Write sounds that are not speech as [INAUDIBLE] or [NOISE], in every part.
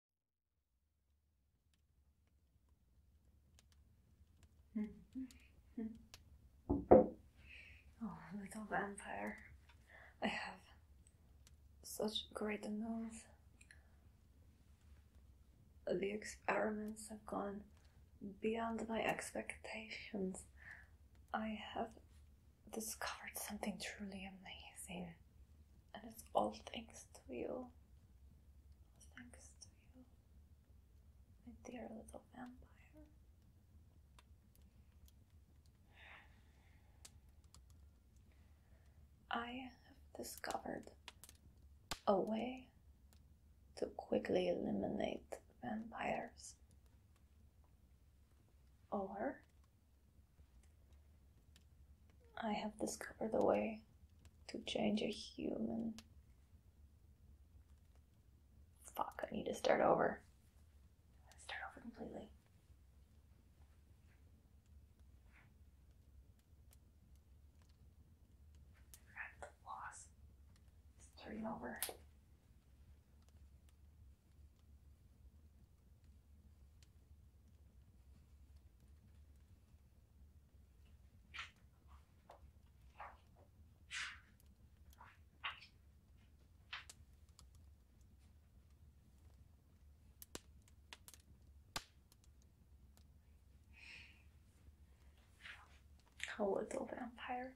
[LAUGHS] oh, little vampire. I have such great news. The experiments have gone beyond my expectations. I have discovered something truly amazing and it's all thanks to you. Thanks to you, my dear little vampire. I have discovered a way to quickly eliminate vampires. Or I have discovered a way to change a human. Fuck, I need to start over. Start over completely. I forgot the loss. Starting over. A little vampire.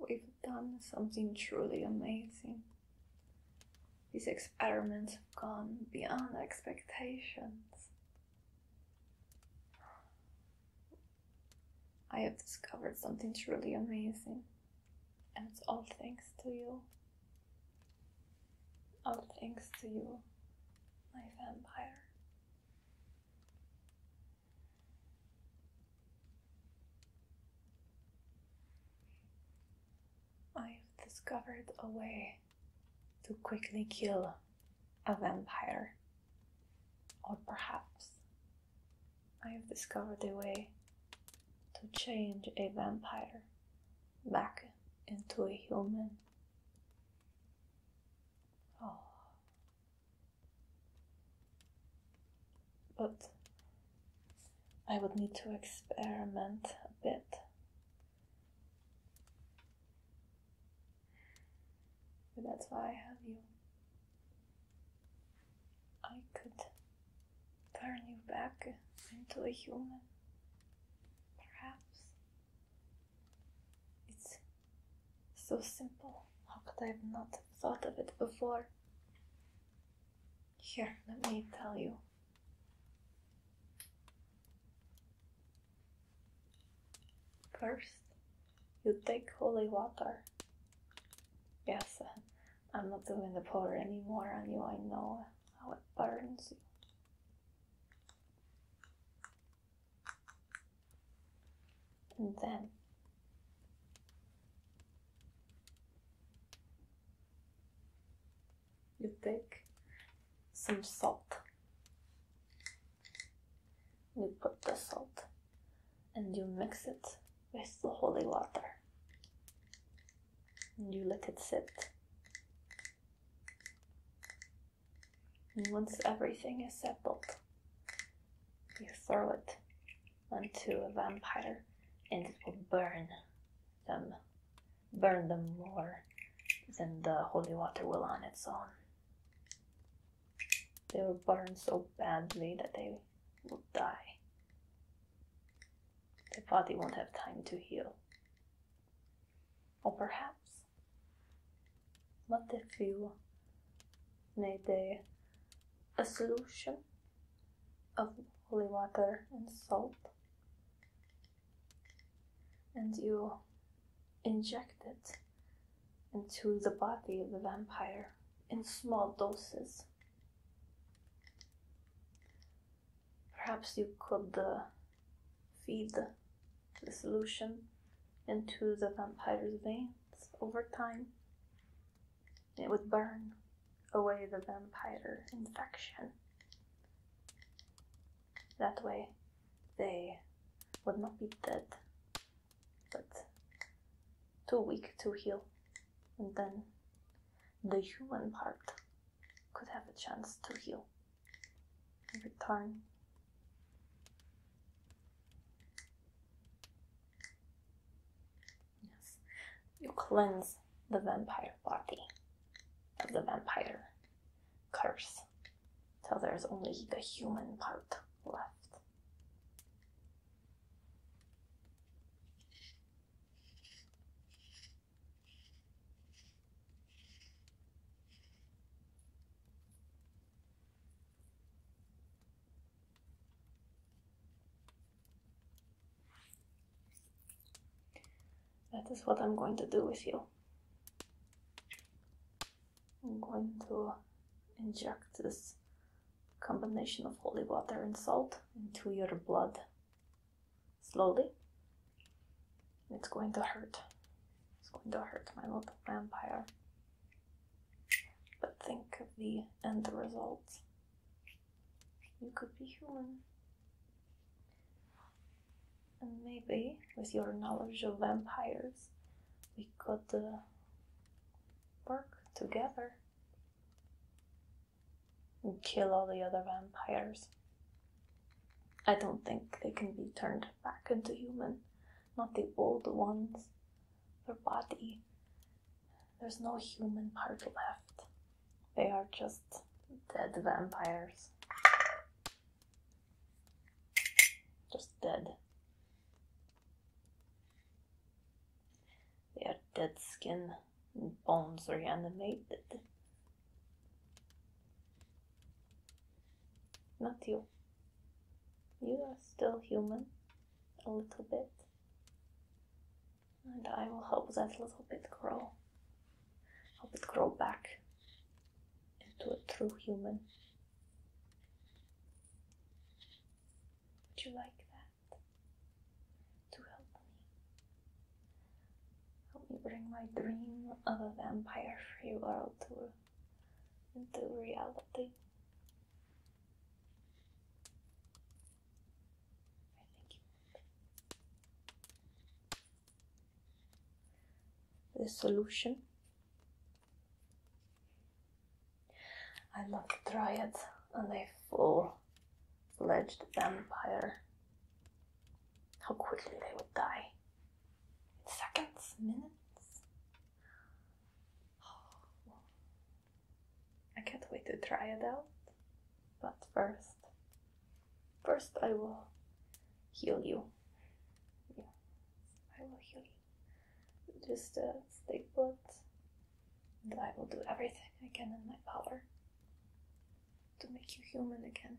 We've done something truly amazing. These experiments have gone beyond expectations. I have discovered something truly amazing, and it's all thanks to you. All thanks to you, my vampire. I've discovered a way to quickly kill a vampire. Or perhaps I've discovered a way to change a vampire back into a human. Oh. But I would need to experiment a bit. But that's why I have you. I could turn you back into a human, perhaps. It's so simple. How could I have not thought of it before? Here, let me tell you. First, you take holy water. Yes, I'm not doing the pour anymore on you. I know how it burns you. And then you take some salt. You put the salt and you mix it with the holy water. And you let it sit. And once everything is settled, you throw it Unto a vampire and it will burn them, burn them more than the holy water will on its own. They will burn so badly that they will die. The body won't have time to heal. Or perhaps, what if you made a, a solution of holy water and salt and you inject it into the body of the vampire in small doses. Perhaps you could uh, feed the solution into the vampire's veins over time it would burn away the vampire infection. That way, they would not be dead, but too weak to heal. And then the human part could have a chance to heal and return. Yes. You cleanse the vampire body of the vampire curse till there's only the human part left. That is what I'm going to do with you. I'm going to inject this combination of holy water and salt into your blood slowly. It's going to hurt. It's going to hurt my little vampire. But think of the end result you could be human. And maybe with your knowledge of vampires, we could uh, work together and kill all the other vampires. I don't think they can be turned back into human, not the old ones. Their body there's no human part left. They are just dead vampires. Just dead. They are dead skin and bones reanimated. Not you. You are still human, a little bit. And I will help that little bit grow. Help it grow back into a true human. Would you like that? To help me? Help me bring my dream of a vampire free world into reality the solution. I love to try it and a full-fledged vampire. How quickly they would die. In seconds, minutes. I can't wait to try it out. But first, first I will heal you. I will heal you. Just uh, stay put. And I will do everything I can in my power to make you human again.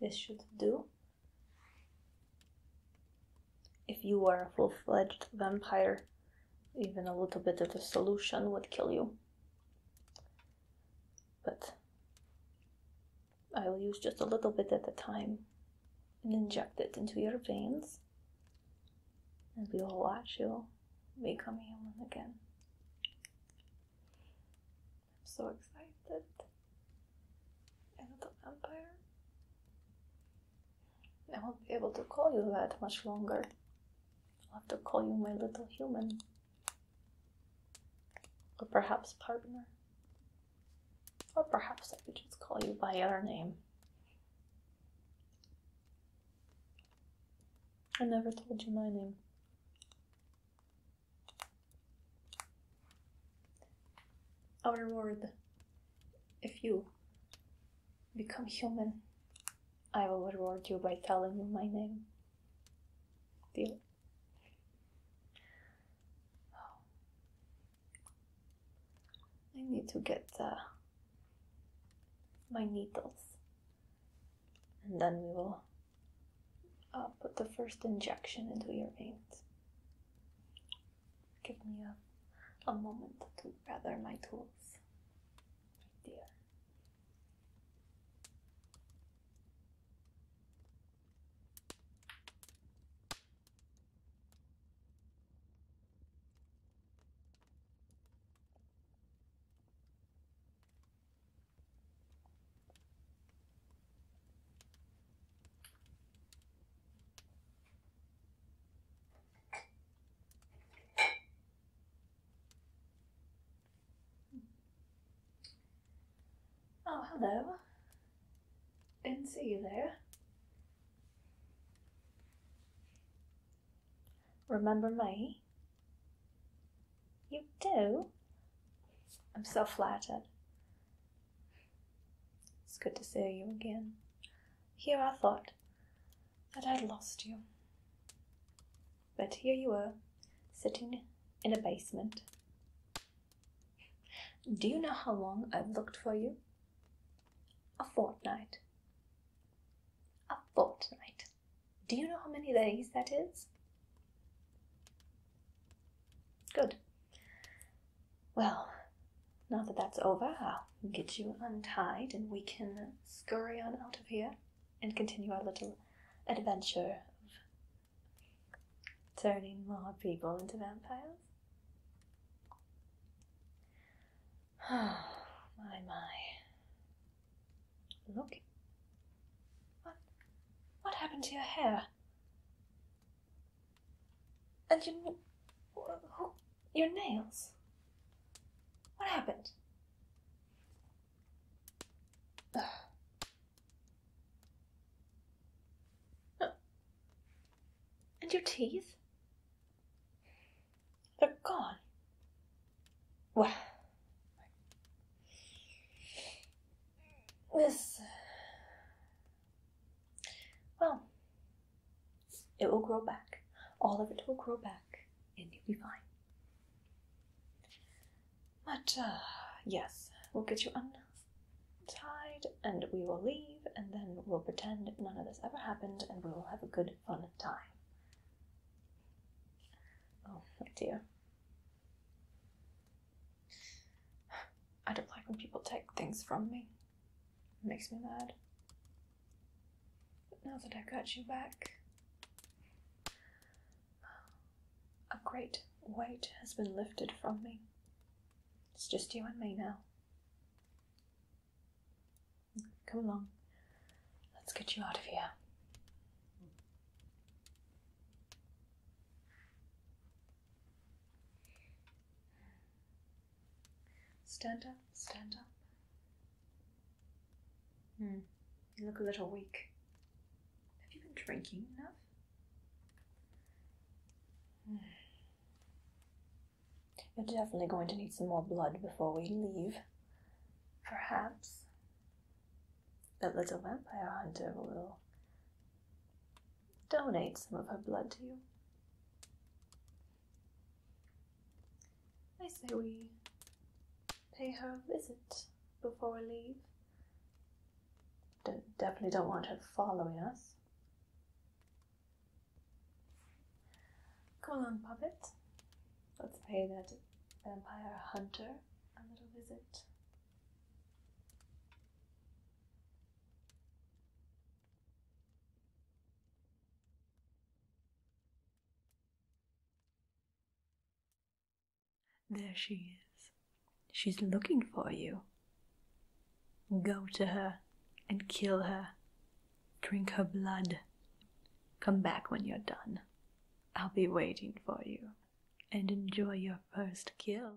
This should do. If you are a full fledged vampire, even a little bit of the solution would kill you. But I will use just a little bit at a time and inject it into your veins, and we will watch you become human again. I'm so excited. And vampire. I won't be able to call you that much longer. I'll have to call you my little human. Or perhaps partner. Or perhaps I could just call you by your name. I never told you my name. Our word. If you become human, I will reward you by telling you my name. Deal? I need to get my needles and then we will uh, put the first injection into your veins. Give me a, a moment to gather my tools, dear. Oh, hello. Didn't see you there. Remember me? You do? I'm so flattered. It's good to see you again. Here I thought that I'd lost you. But here you were, sitting in a basement, do you know how long I've looked for you? A fortnight. A fortnight. Do you know how many days that is? Good. Well, now that that's over, I'll get you untied and we can scurry on out of here and continue our little adventure turning more people into vampires? Oh, [SIGHS] my, my. Look. What, what happened to your hair? And your, your nails? What happened? [SIGHS] And your teeth? They're gone. Well, this. Well, it will grow back. All of it will grow back, and you'll be fine. But, uh, yes, we'll get you on tide and we will leave and then we'll pretend none of this ever happened and we will have a good fun time. Oh my dear. I don't like when people take things from me. It makes me mad. But now that I've got you back, a great weight has been lifted from me. It's just you and me now. Come along. Let's get you out of here. Stand up, stand up. Hmm. you look a little weak. Have you been drinking enough? [SIGHS] You're definitely going to need some more blood before we leave. Perhaps that little vampire hunter will donate some of her blood to you. I say we pay her a visit before we leave definitely don't want her following us. Come on, puppet. Let's pay that vampire hunter a little visit. There she is. She's looking for you. Go to her and kill her. Drink her blood. Come back when you're done. I'll be waiting for you. And enjoy your first kill.